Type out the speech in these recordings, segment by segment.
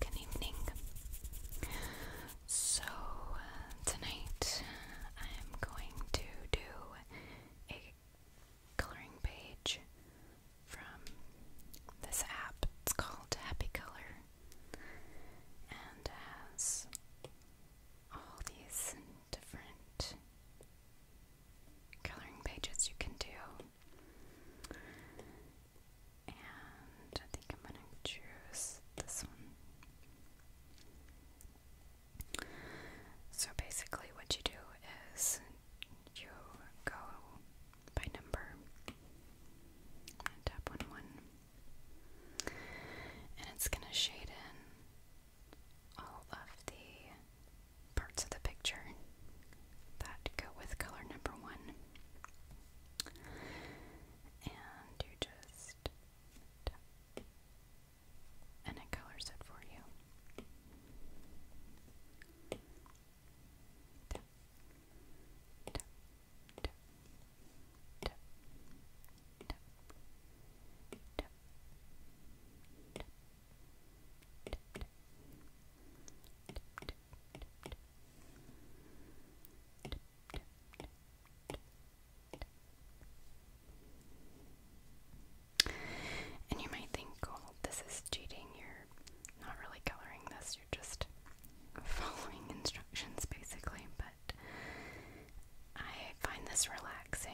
Good evening. So, uh, tonight I am going to do a coloring page from this app. It's called Happy Color and has all these different coloring pages you can do. And I think I'm gonna choose this one. So basically, what you do is you go by number. tap on one, and it's gonna shade in all of the parts of the picture that go with color number one. And you just And it colors it for you. And you might think, oh, this is cheating. You're not really coloring this, you're just following instructions basically. But I find this relaxing.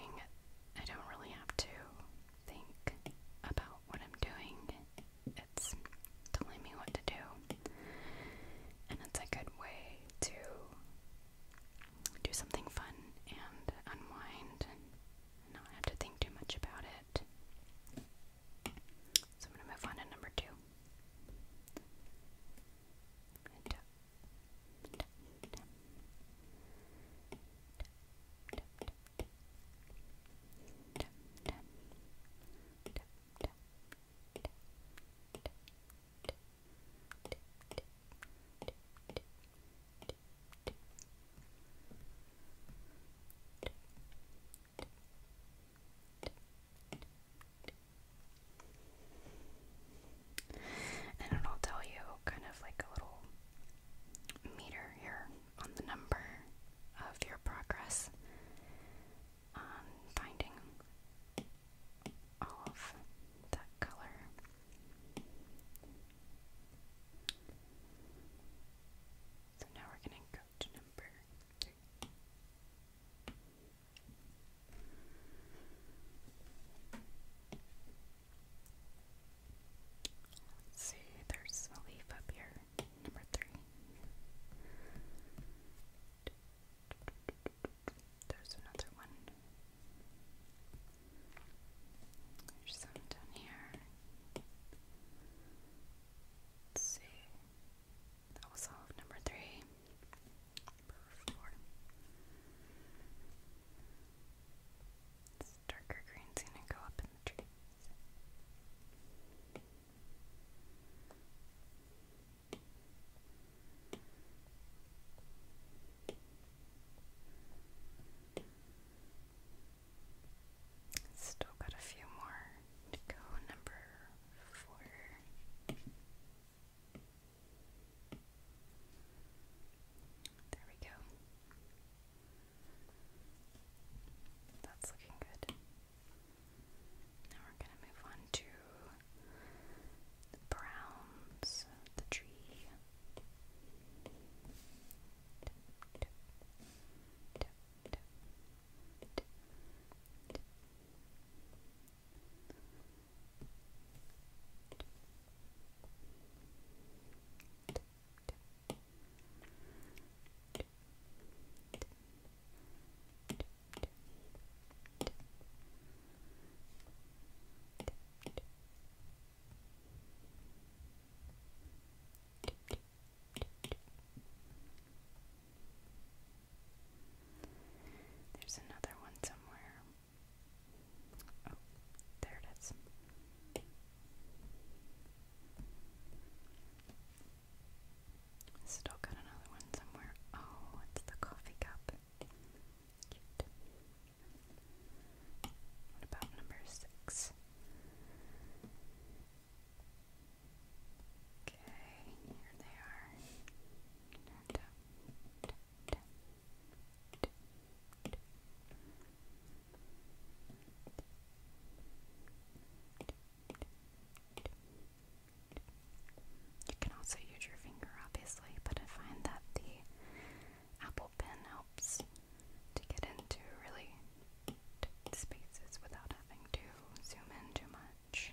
I don't really have to think about what I'm doing it's telling me what to do. And it's a good way to do something fun and unwind not have to think too much about it. So I'm going to move on to number two. And it'll tell you kind of like a little meter here on the number of your progress finding of that color. So now we're going to go to number see, there's a leaf up here number three. There's another one. There's some down here. Let's see. That was all number three. Number four. This darker green's gonna go up in the trees. Still got a few more to go. Number four. There we go. That's looking good. Now we're going to move on to the browns of the tree. There's another one somewhere. Oh, there it is. Still got another one somewhere. Oh, it's the coffee cup. Cute. What about number six? Okay, here they are. You can also use your finger, obviously, but I find that the Apple Pen helps to get into really spaces without having to zoom in too much.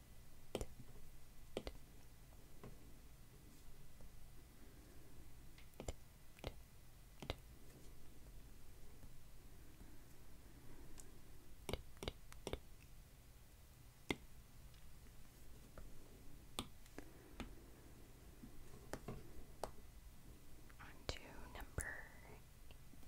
On to number eight.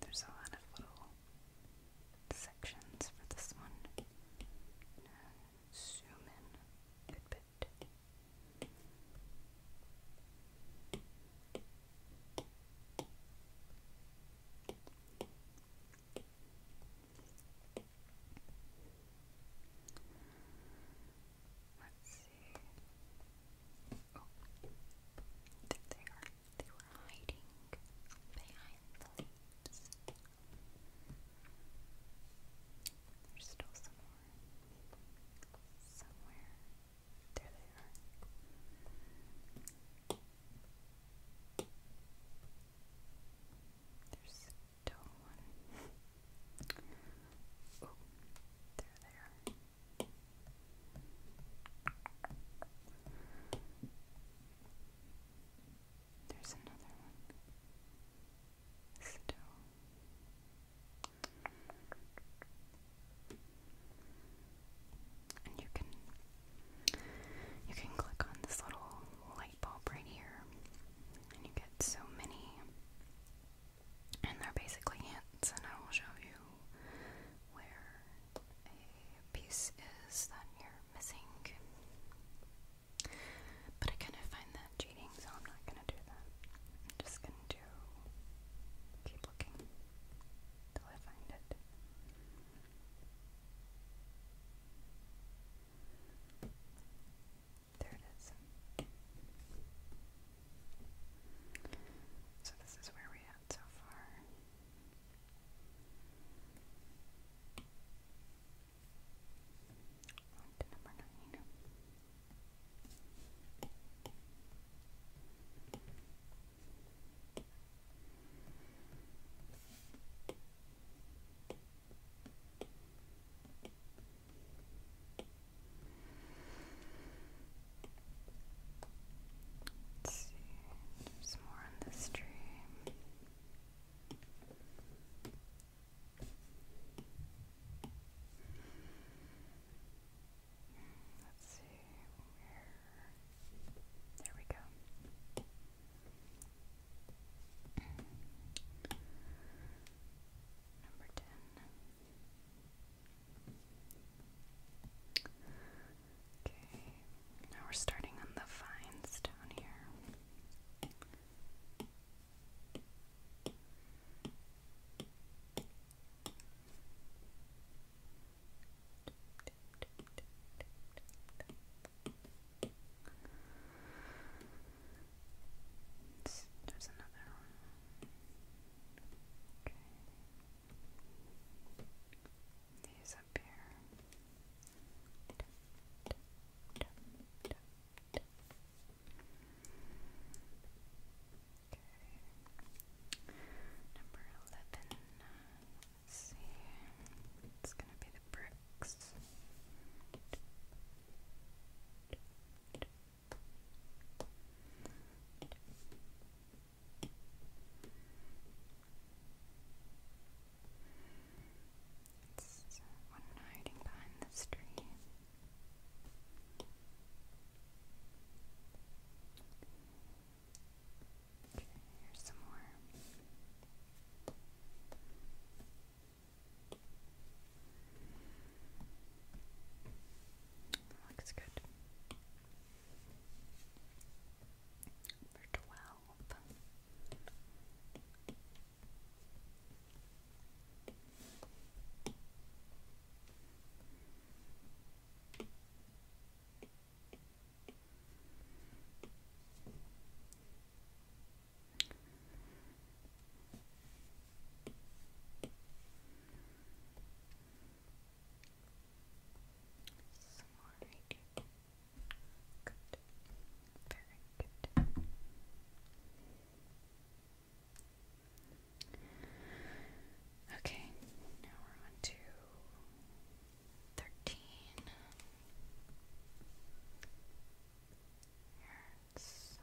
There's a lot of little sections for this one. Zoom in a bit. Let's see. Oh, there they are. They were hiding behind the leaves. There's still some more. Somewhere. There they are. There's still one. oh, they are. There's another one. Still. And you can you can click on this little right here. And you get so many. And they're basically hints, and I will show you where a piece is that you're missing. But I kind of find that cheating, so I'm not gonna do that. I'm just gonna do keep looking till I find it. There it is. So this is where we're so far. number nine. Let's see, there's more on this tree. Let's see There we go. Number ten. Okay, now we're starting on the vines down here. It's, there's another one. Okay. These up here. Okay. Number eleven. Let's see. It's gonna be the bricks. It's one hiding behind this tree. Okay, here's Looks good. Number twelve. Some more Okay, now we're on to thirteen hertz. Thirteen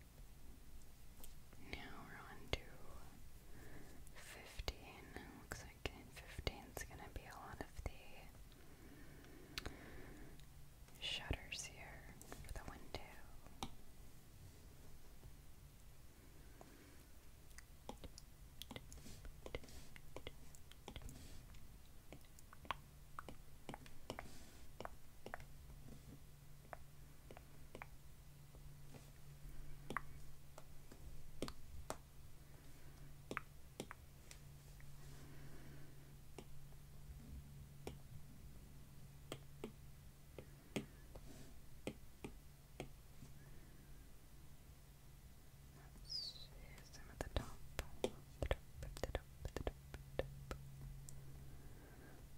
now we're on 15. Looks like in 15 is going to be a lot of the shutters here for the window. Let's use the top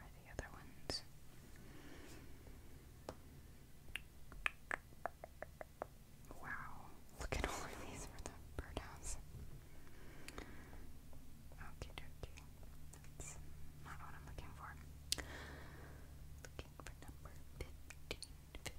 are the other ones. Wow, look at all of these for the birdhouse. Okie dokie. That's not what I'm looking for. Looking for number 15, 15,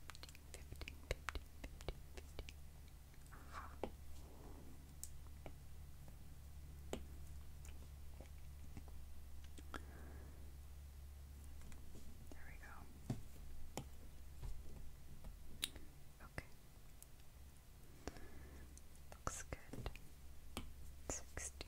there we go. Okay. Looks good. Sixteen.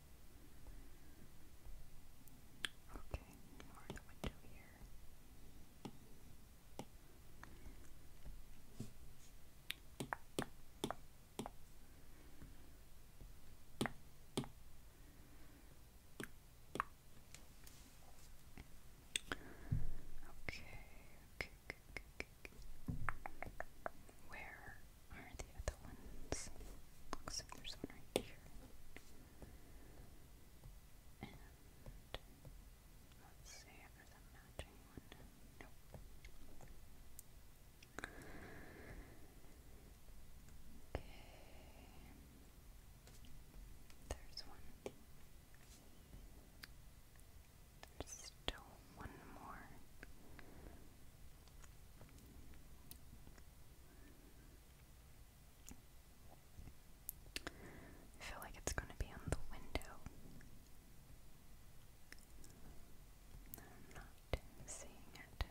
Okay, or Where are the other ones? Looks like there's one right here. And let's see if there's a matching one. Nope. Okay. There's one. There's still one more. I feel like it's going to be on the window. I'm not seeing it.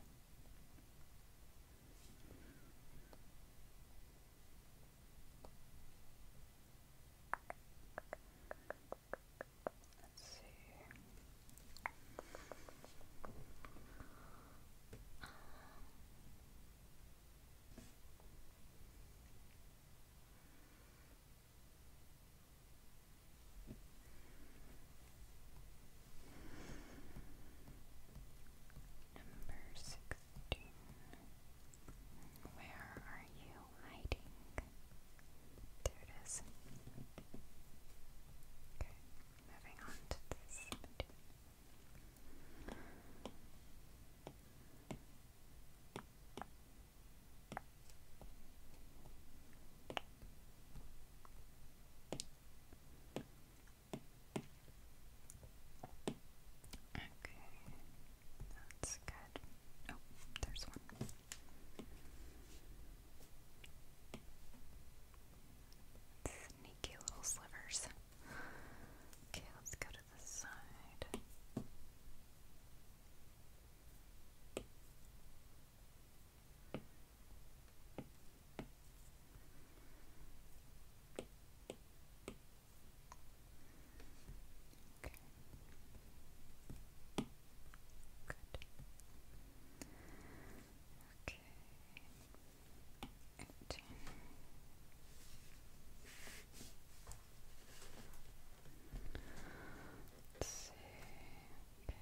Let's see. Um, number sixteen. Where are you hiding? There it is. Okay, moving on to this. Okay, that's good. Oh, there's one. Sneaky little slivers. Okay, let's go to the side. Okay. Good. Okay. 18. Let's see. Okay.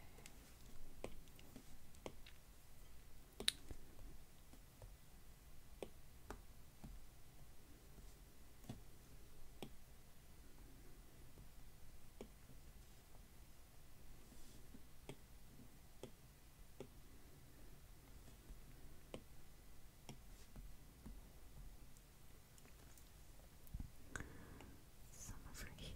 Okay. Some over here. Let's see.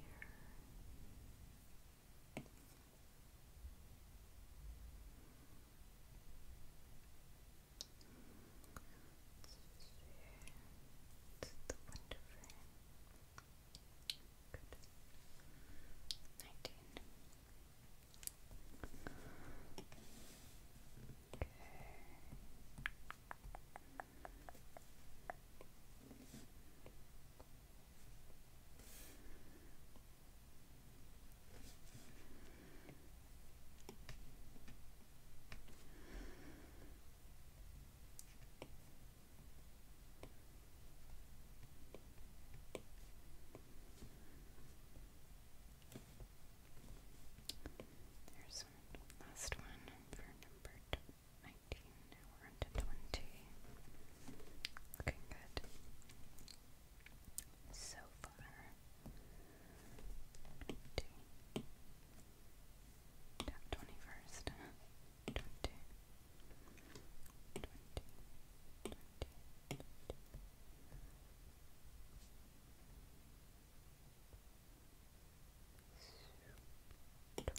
It's the window frame. Good. Nineteen. Okay. Okay. There's one last one for number nineteen. Now we're on twenty. Looking good so far. twenty first. 20, 20, 20, 20. Okay.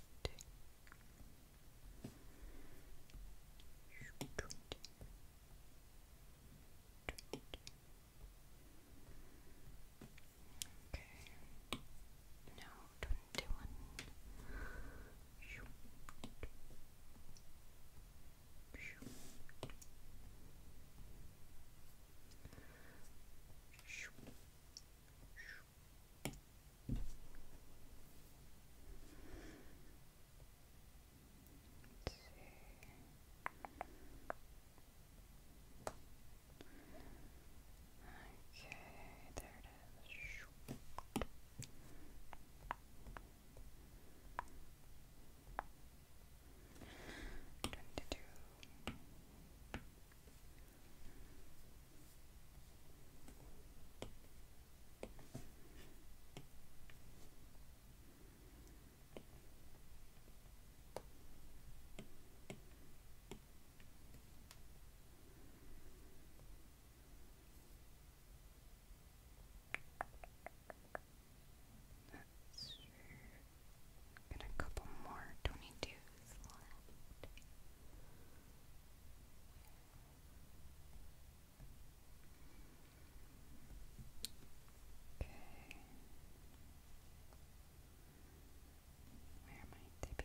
Now, 21, Okay, there it is. Twenty-two. Twenty-three. That's true. Got a couple more 22s left. Okay. Where am I to be?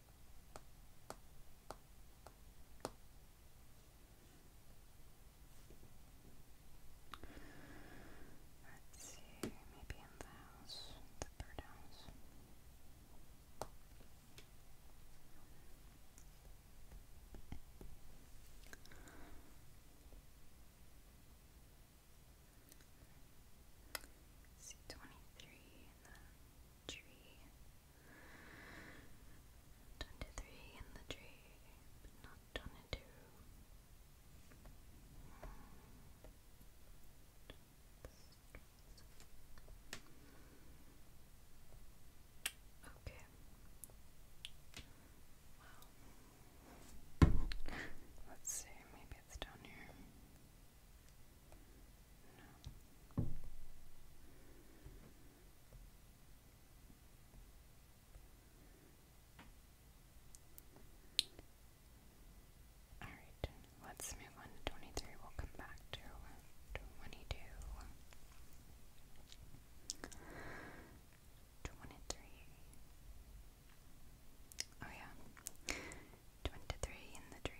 Let's see, maybe in the house, the bird house see 23 in the tree. 23 in the tree, but not 22. Okay. Wow. Let's see, maybe it's down here. No. All right, let's move on to 23. We'll come back to 22. 23. Oh, yeah. Twenty-three in the tree.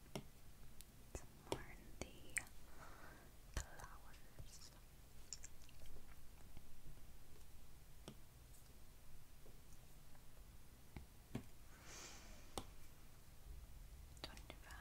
Some more in the flowers. Twenty-five.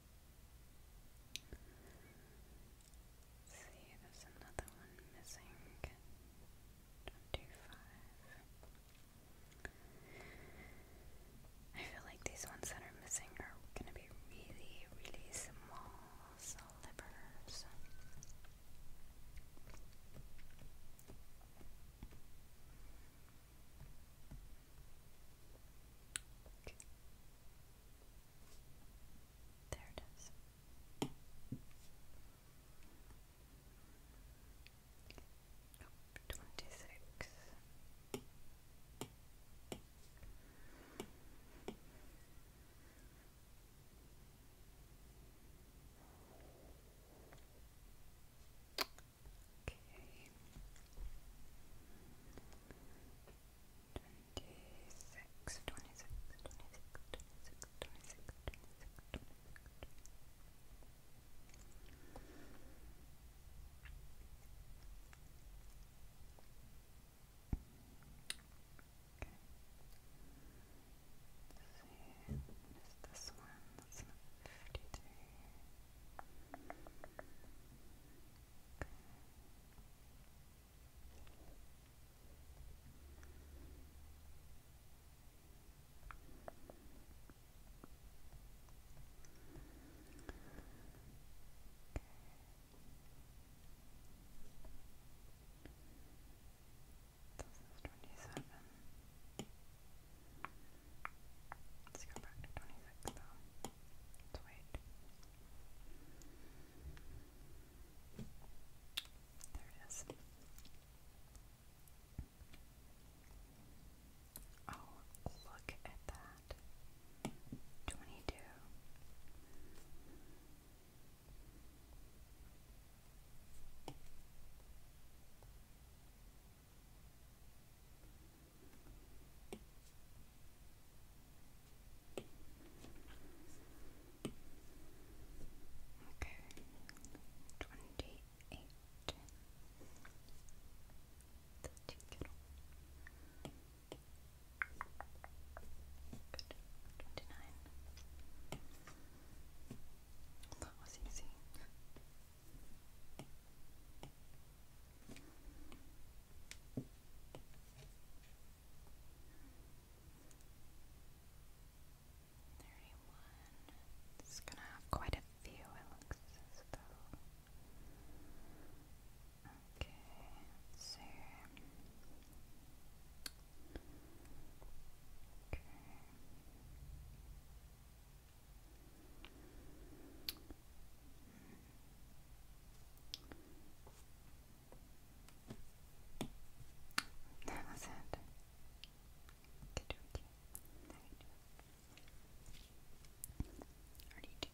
see, there's another one missing. Twenty-five. I feel like these ones that are missing are gonna be really, really small slivers. There it is. Nope, twenty six. Okay. 26, 26, Okay. see. What is this one? That's not 53. Okay. 27. Let's go back to 26 though. Let's wait. There it is. Oh, look at that. Twenty two. Okay, twenty eight. Twenty nine. That was easy. Okay. Thirty-one. It's gonna have quite a few. It looks Okay, Okay. That was it. Good, okay. Already do.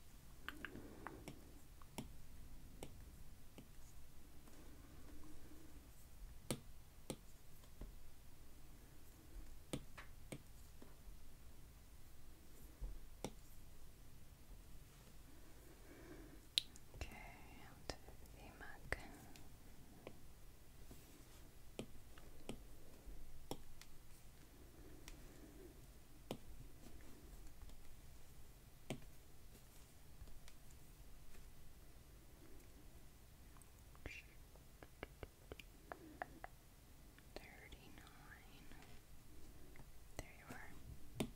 Okay. Okay, and the Mac. Thirty nine. There you are.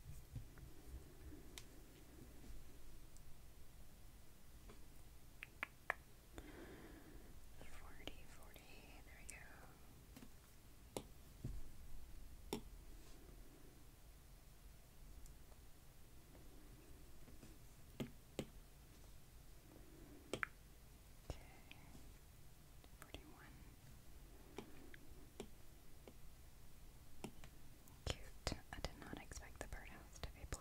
Forty, forty, there you go. Okay. Forty one. Cute. I did not expect the birdhouse to be blue.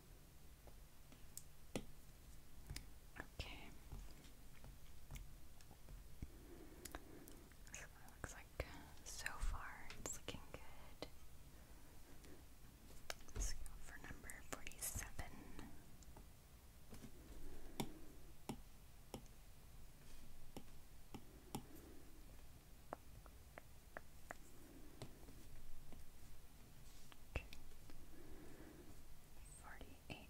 Okay. So it looks like so far it's looking good. Let's go for number 47. Okay. Forty-eight.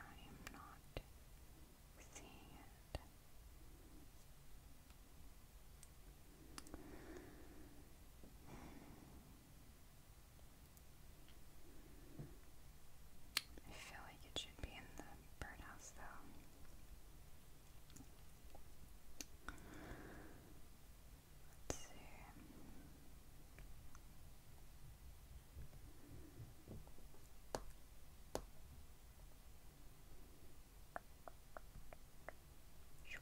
I am not seeing it. I feel like it should be in the birdhouse though. Let's see. Let's look here.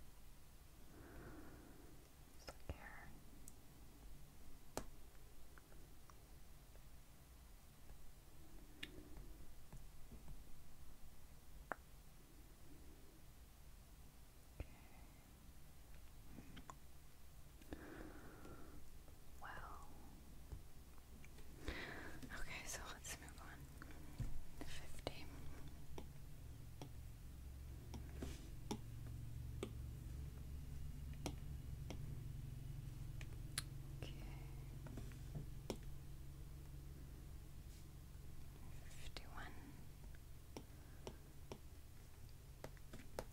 Okay. Well. Okay, so let's move on 50. Okay. 51 52.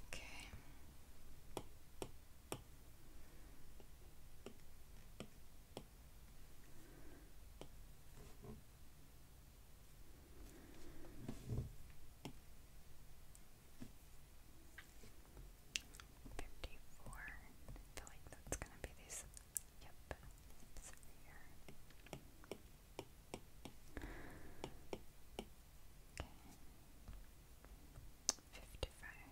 Okay. Okay. 54. I feel like that's going to be these. Yep. Okay. 55.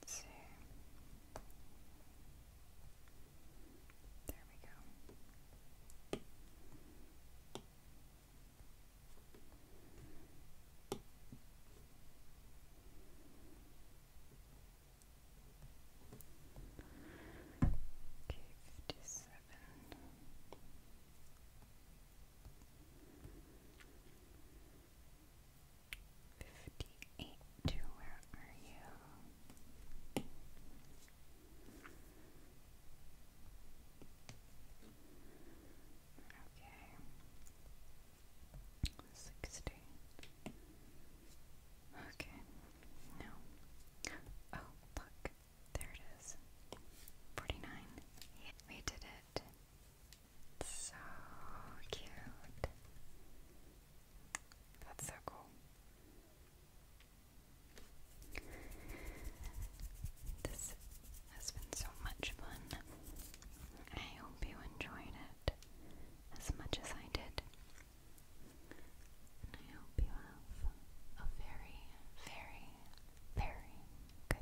Let's see. There we go. Okay, fifty seven. 58, where are you? Okay. 60. Okay. No. Oh, look. There it is. 49. We did it. So cute. That's so cool. This has been so much fun. I hope you enjoyed it as much as I did. I hope you have a very, very, very good